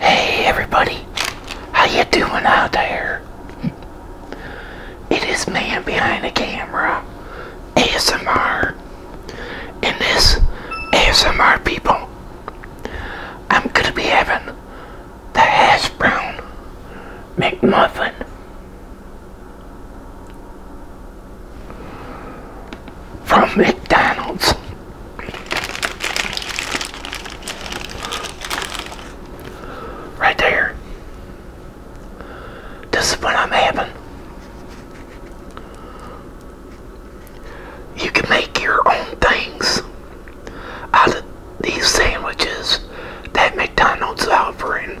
Hey everybody, how you doing out there? It is man behind the camera, ASMR, and this ASMR people. I'm gonna be having the hash brown McMuffin from McDonald's. Right there. This is what I'm having. You can make your own things out of these sandwiches that McDonald's offering.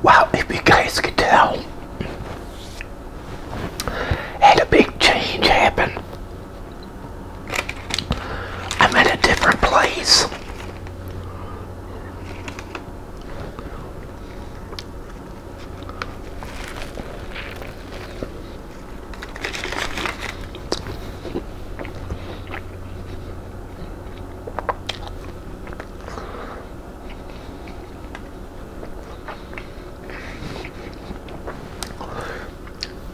Wow, if you guys could tell, had a big change happen. I'm at a different place.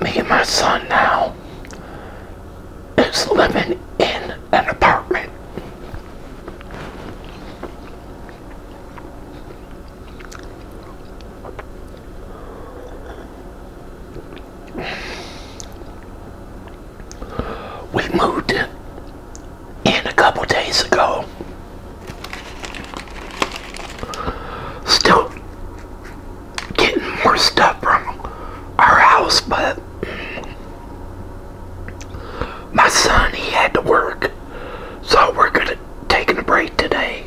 Me and my son now is living in an apartment. We moved and a couple days ago. Still getting more stuff from our house, but my son, he had to work, so we're going to take a break today.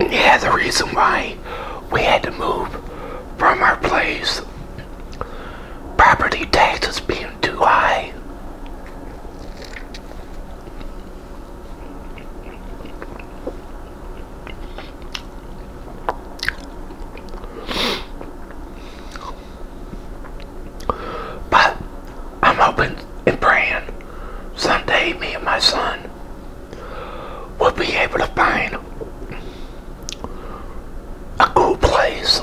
Yeah, the reason why we had to move from our place, property taxes being too high. But I'm hoping and praying someday me and my son will be able to find a cool place.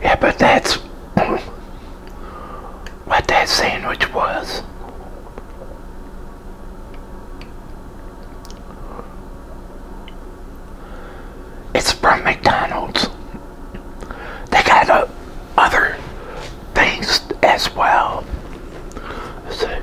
Yeah, but that's what that sandwich was. It's from McDonald's. They got other things as well. let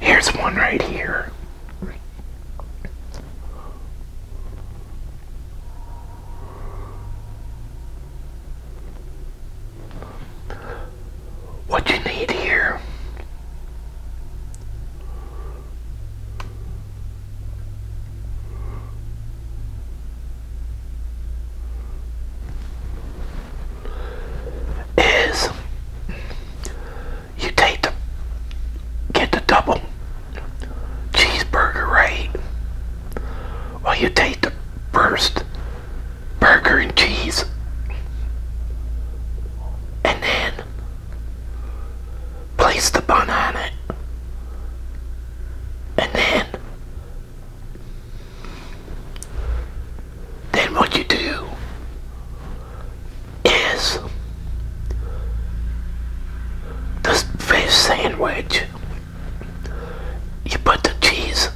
Here's one right here. What you need here is you take the get the double cheeseburger right well you take the first burger and cheese and then place the bun on it and then then what you do is this fish sandwich you put the cheese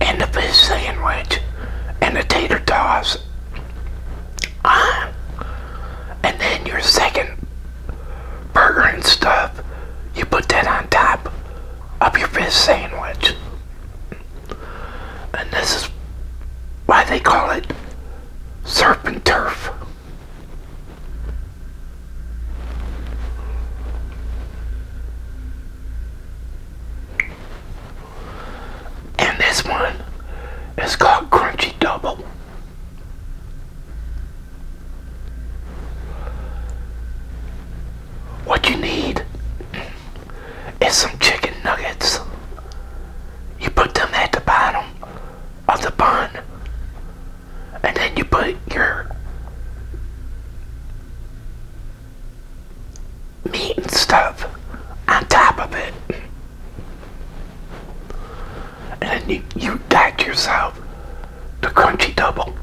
and the fish sandwich and the tater tots on and then your second burger and stuff, you put that on top of your fish sandwich. And this is why they call it surf turf. And this one is called Crunchy Double. What you need is some chicken nuggets. You put them at the bottom of the bun, and then you put your meat and stuff on top of it and then you, you got yourself the crunchy double.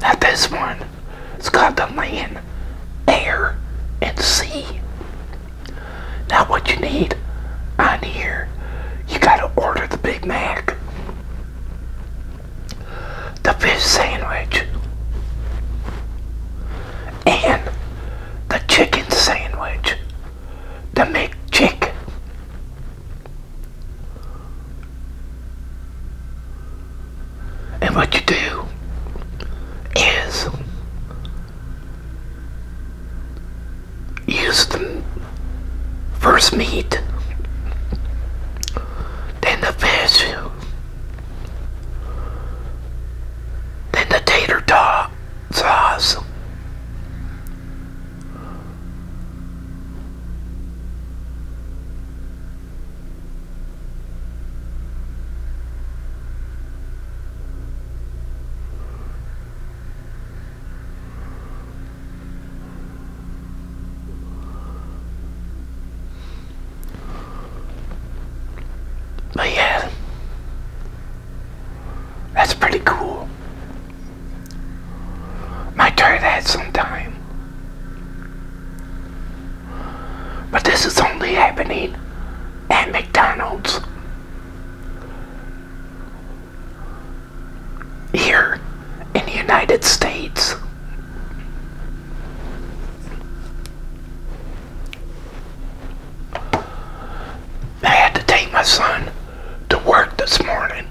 Now this one, it's called the land, air, and sea. Now what you need on here, you gotta order the Big Mac the fish sandwich and the chicken sandwich, the McChicken. And what you do is use the first meat, then the fish, then the tater tot sauce. Oh, yeah, that's pretty cool. Might try that sometime. But this is only happening at McDonald's here in the United States. I had to take my son to work this morning.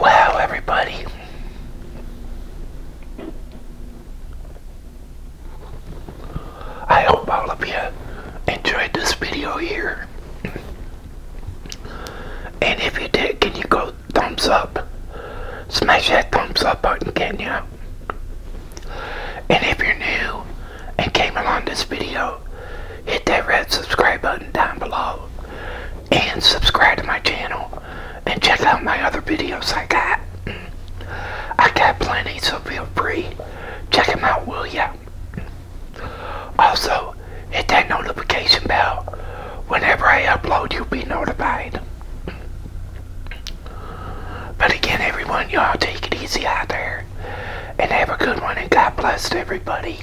Wow, everybody. I hope all of you enjoyed this video here. And if you did, can you go thumbs up? Smash that thumbs up button, can you? And if you're new and came along this video, hit that red subscribe button down below and subscribe to my channel and check out my other videos I got. I got plenty, so feel free. Check them out, will ya? Also, hit that notification bell. Whenever I upload, you'll be notified. But again, everyone, y'all take it easy out there. And have a good one, and God bless everybody.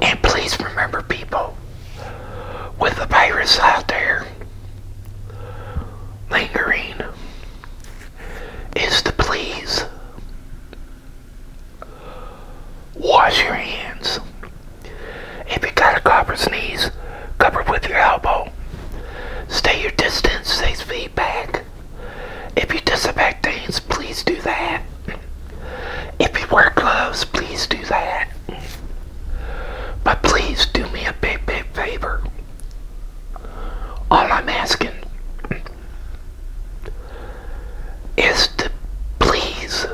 And please remember, people, with the virus out there lingering is to please wash your hands. If you got a cough or sneeze, cover with your elbow. Stay your distance, stay feet back. If you disinfect things, please do that. If you wear gloves, please do that. But please do me a big, big favor. All I'm asking is to please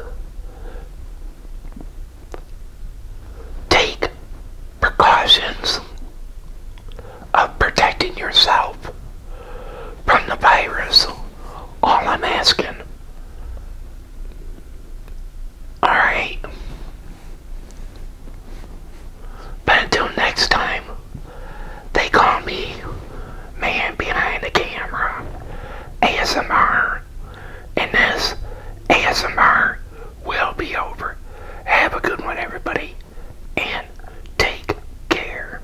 take precautions of protecting yourself from the virus all I'm asking. Alright. But until next time, they call me Man Behind the Camera ASMR. And this ASMR will be over. Have a good one, everybody. And take care.